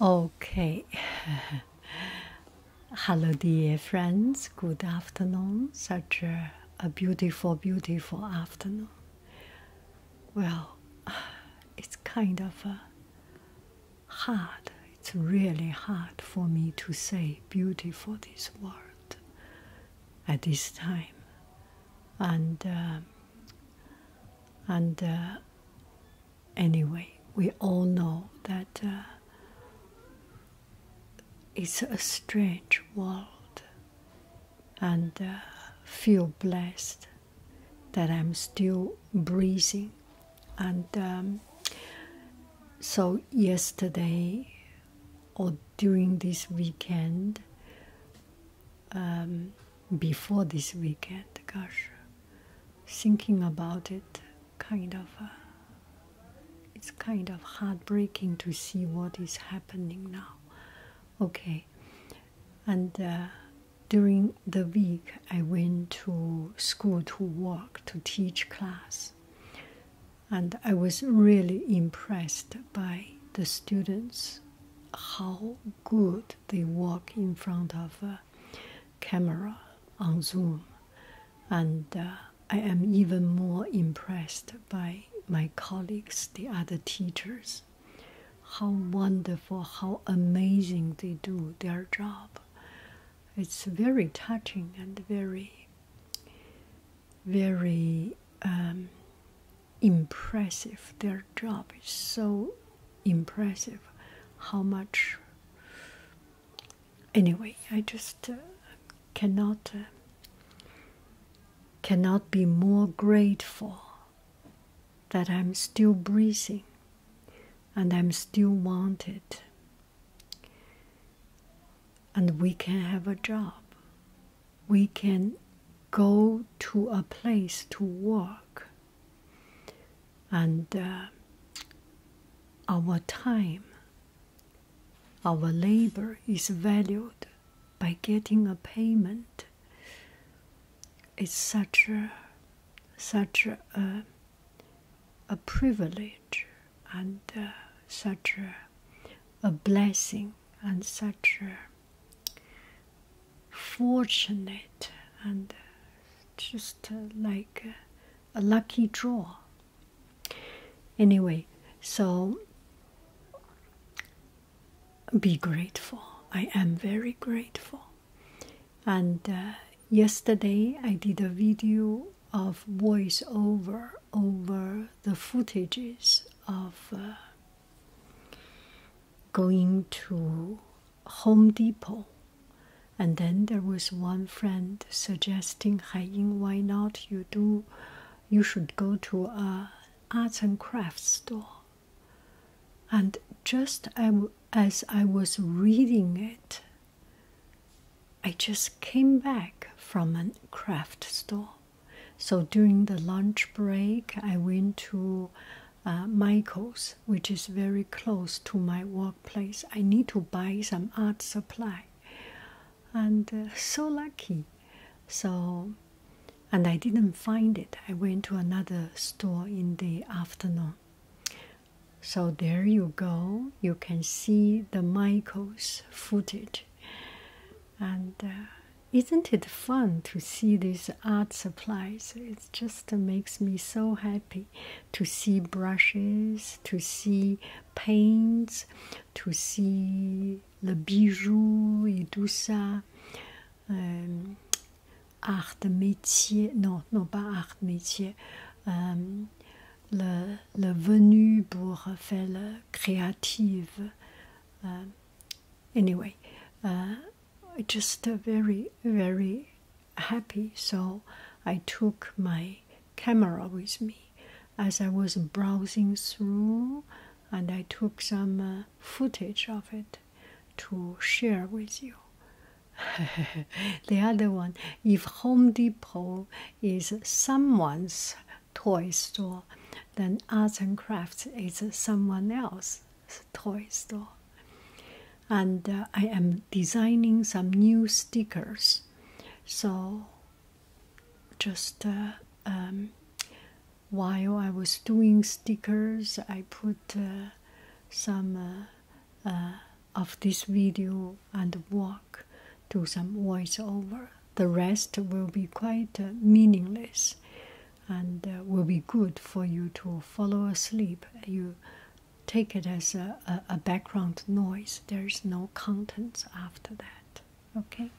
Okay. Hello, dear friends. Good afternoon. Such a, beautiful, beautiful afternoon. Well, it's kind of hard. It's really hard for me to say beautiful this word at this time. And, um, and, uh, anyway. We all know that uh, it's a strange world, and uh, feel blessed that I'm still breathing. And um, so, yesterday or during this weekend, um, before this weekend. Gosh, thinking about it, kind of, uh, it's kind of heartbreaking to see what is happening now. Okay, and uh, during the week, I went to school to work to teach class, and I was really impressed by the students how good they walk in front of uh, camera on Zoom, and uh, I am even more impressed by my colleagues, the other teachers. How wonderful, how amazing they do their job. It's very touching and very, very um, impressive. Their job is so impressive how much. Anyway, I just uh, cannot uh, cannot be more grateful that I'm still breathing and I'm still wanted and we can have a job. We can go to a place to work and uh, our time, our labor is valued by getting a payment. It's such a such a, uh, privilege and uh, such a, a blessing and such a fortunate and uh, just uh, like uh, a lucky draw. Anyway, so be grateful. I am very grateful. And yesterday I did a video of voiceover over the footages of going to Home Depot. And then there was one friend suggesting, Hai why not you do, you should go to a arts and crafts store. And just as I was reading it, I just came back from a craft store. So during the lunch break, I went to uh, Michael's, which is very close to my workplace. I need to buy some art supply, and uh, so lucky. So, and I didn't find it. I went to another store in the afternoon. So there you go. You can see the Michael's footage, and uh, isn't it fun to see these art supplies? It just makes me so happy to see brushes, to see paints, to see the bijou et tout ça. Um, art métier, non, non pas art métier. Um, le, le venu pour faire le créative. Um, anyway, uh, I just very very happy so i took my camera with me as i was browsing through and i took some uh, footage of it to share with you the other one if home depot is someone's toy store then arts and crafts is someone else it's a toy store. And uh, I am designing some new stickers. So, just uh, um, while I was doing stickers, I put uh, some of this video and walk to some voiceover. The rest will be quite meaningless and uh, will be good for you to follow asleep. You take it as a, a, a background noise. There is no contents after that. Okay.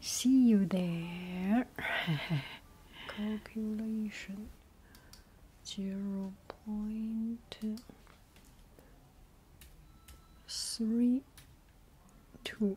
See you there. Calculation zero point three two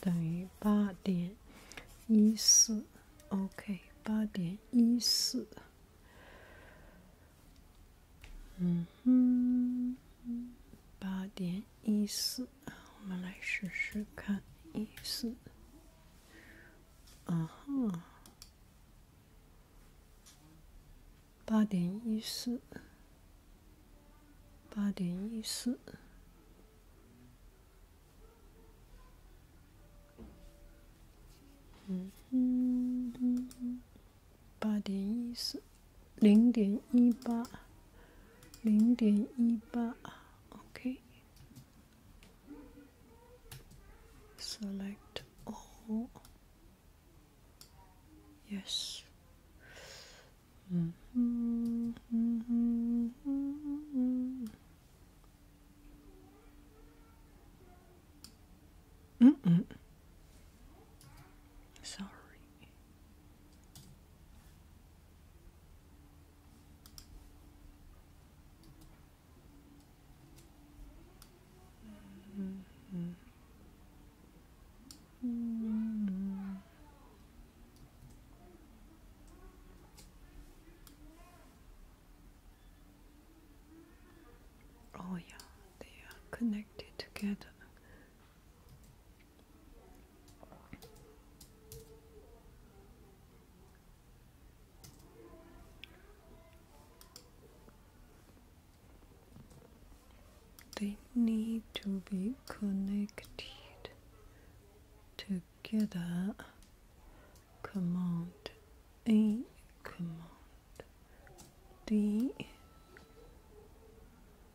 等于八点一四，OK，八点一四，嗯哼，八点一四我们来试试看，一四，啊哈，八点一四。八点一四，嗯，八点一四，零点一八，零点一八，OK，select all，yes。Mm -mm. Sorry. Mm -hmm. Mm. Oh, yeah, they are connected together. They need to be connected together. Command A, command D.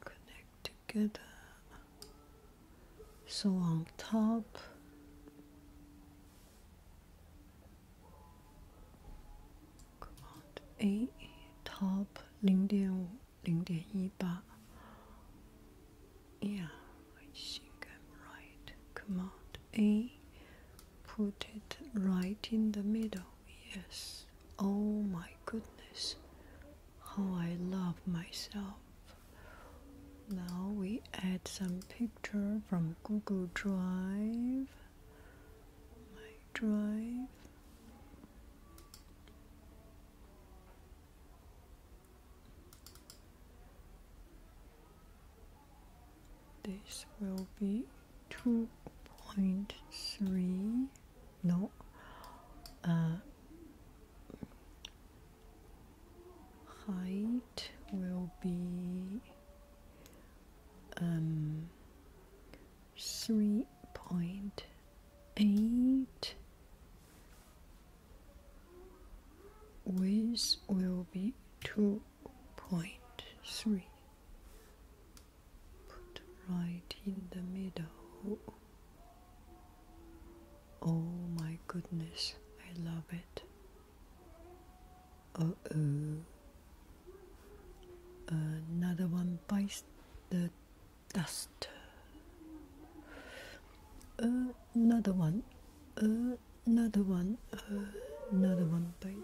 Connect together. So on top. Command A, top 零点五。零点一八。Yeah, I think I'm right. Command A, put it right in the middle. Yes. Oh my goodness, how I love myself. Now we add some picture from Google Drive. My drive. This will be 2.3, no, uh, height will be um, three point eight width will be two point three put right in the middle oh my goodness I love it uh oh another one bites the Duster. Uh, another one, uh, another one, uh, another one, By.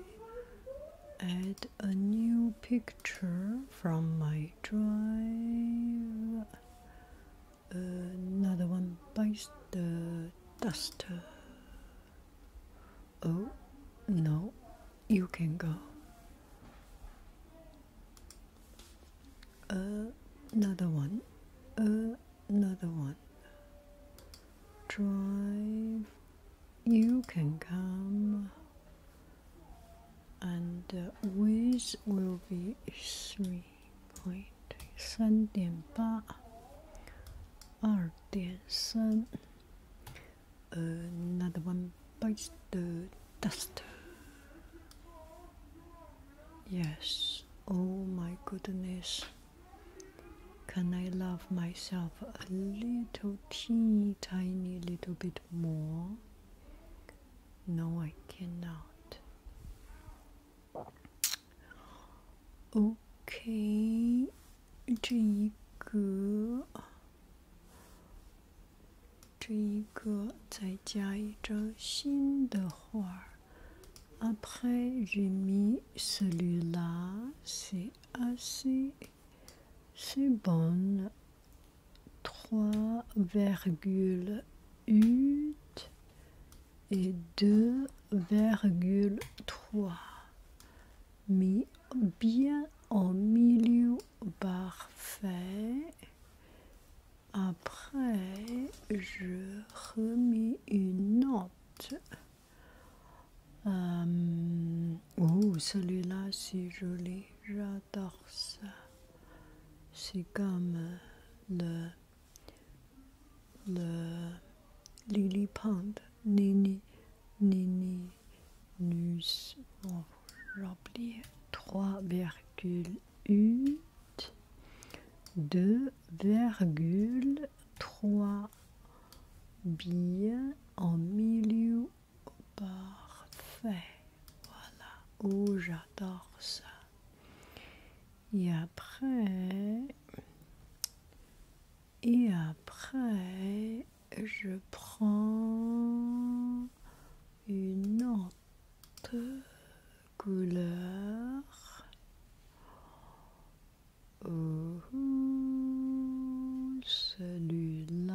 Add a new picture from my drive. Another one by the duster. Oh no, you can go another one, another one. Drive, you can come, and uh, will be three point 三点八，二点三。Another one bites the dust. Yes, oh my goodness. Can I love myself a little teeny tiny little bit more? No, I cannot. Okay, 这一个。Après j'ai mis celui-là. C'est assez. C'est bon. 3,8 et 2,3. Mis bien au milieu parfait. Après, je remis une note. Um, oh, celui-là, c'est joli. J'adore ça. C'est comme euh, le, le lily nini, nini, j'ai oublié, 3,8 2,3 bien en milieu parfait. Voilà, oh j'adore ça. Et après, et après, je prends une autre couleur. Oh, celui-là,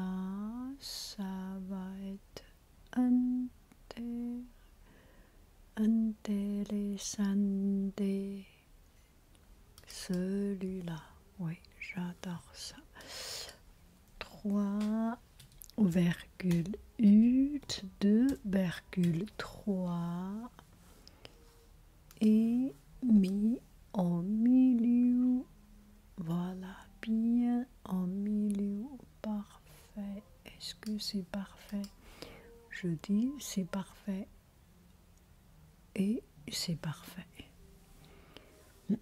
ça va être un intér sande. Celui-là, oui, j'adore ça. 3, 2,3, 2, 3, et mis en milieu. Voilà, bien en milieu. Parfait. Est-ce que c'est parfait Je dis c'est parfait. Et c'est parfait.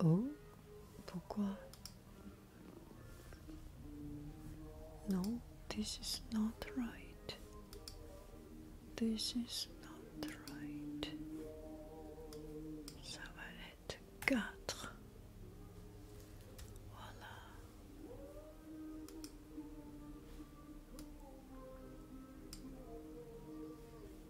Oh Pourquoi Non, this is not right. This is not right. Ça va être quatre. Voilà.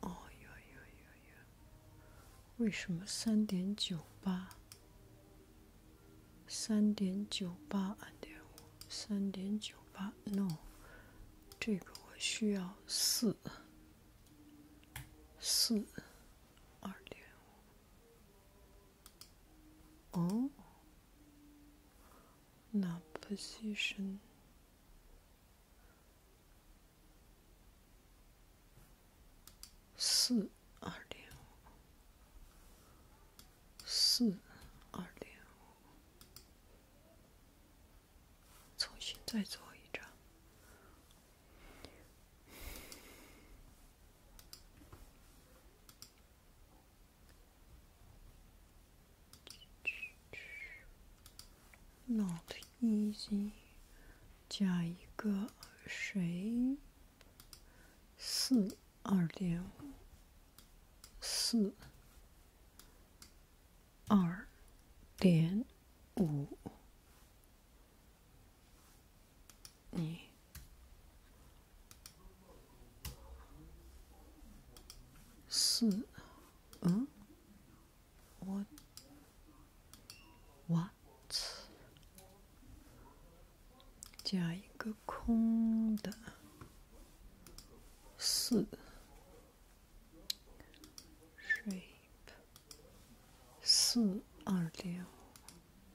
哦哟哟哟哟！为什么三点九八？三点九八二点五，三点九八？No，这个我需要四四二点五。哦，那 position 四二零五，四二零五，重新再做一张。Not easy. 加一个谁？四二点五四二点五。你四嗯，what what 加一个空的四 shape 四二六。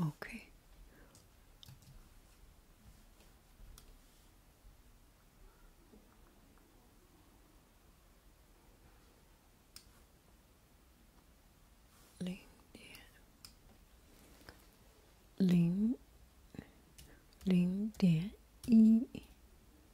Okay. 零点零点一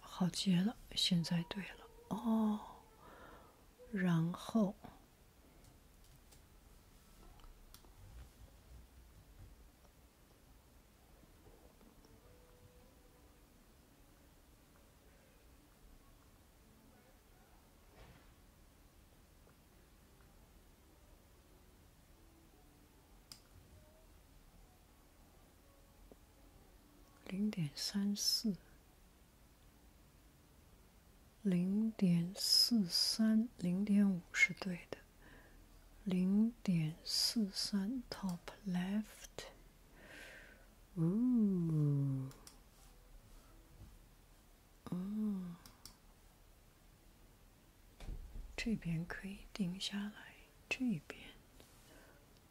好极了，现在对了哦，然后。零点三四，零点四三，零点五是对的。零点四三，top left。嗯，哦，这边可以定下来，这边。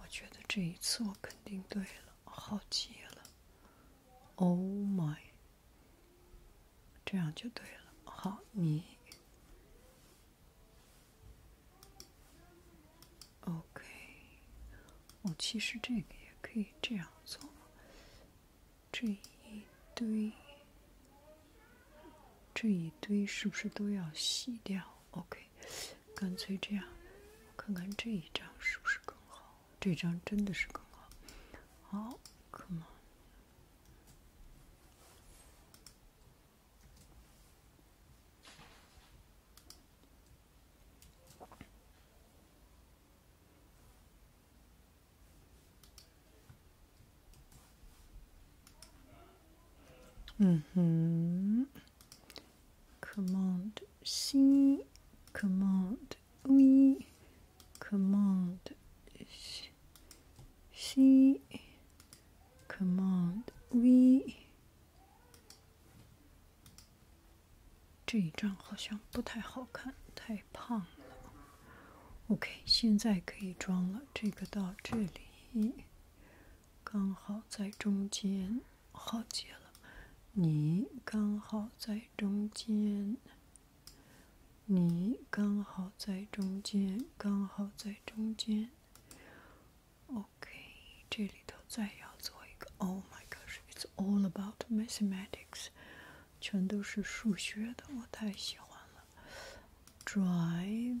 我觉得这一次我肯定对了，好极了，Oh my，这样就对了，好，你，OK，我其实这个也可以这样做，这一堆，这一堆是不是都要洗掉？OK。干脆这样，看看这一张是不是更好？这张真的是更好。好，Come on。嗯哼。Command C，Command V，Command C，Command V。这一张好像不太好看，太胖了。OK，现在可以装了，这个到这里。刚好在中间，好结了。你刚好在中间，你刚好在中间，刚好在中间。OK，这里头再要做一个。Oh my gosh，it's all about mathematics，全都是数学的，我太喜欢了。Drive。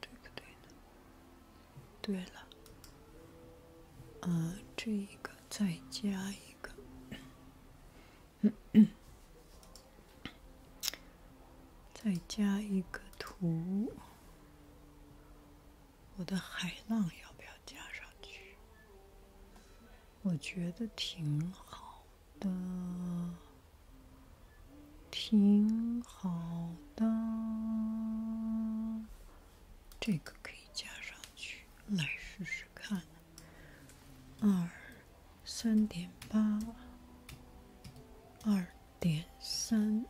对个对呢？对了，呃，这一个再加一个，嗯嗯，再加一个图。我的海浪要不要加上去？我觉得挺好。的挺好的，这个可以加上去，来试试看。二三点八，二点三，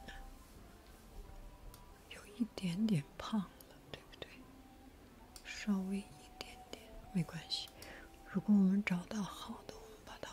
有一点点胖了，对不对？稍微一点点，没关系。如果我们找到好的，我们把它。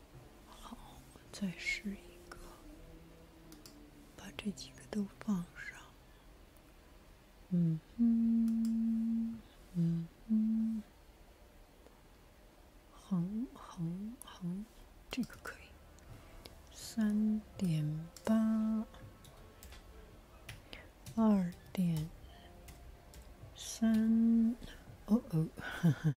好，再试一个，把这几个都放上。嗯哼，嗯哼，横横横，这个可以。三点八，二点三，哦哦。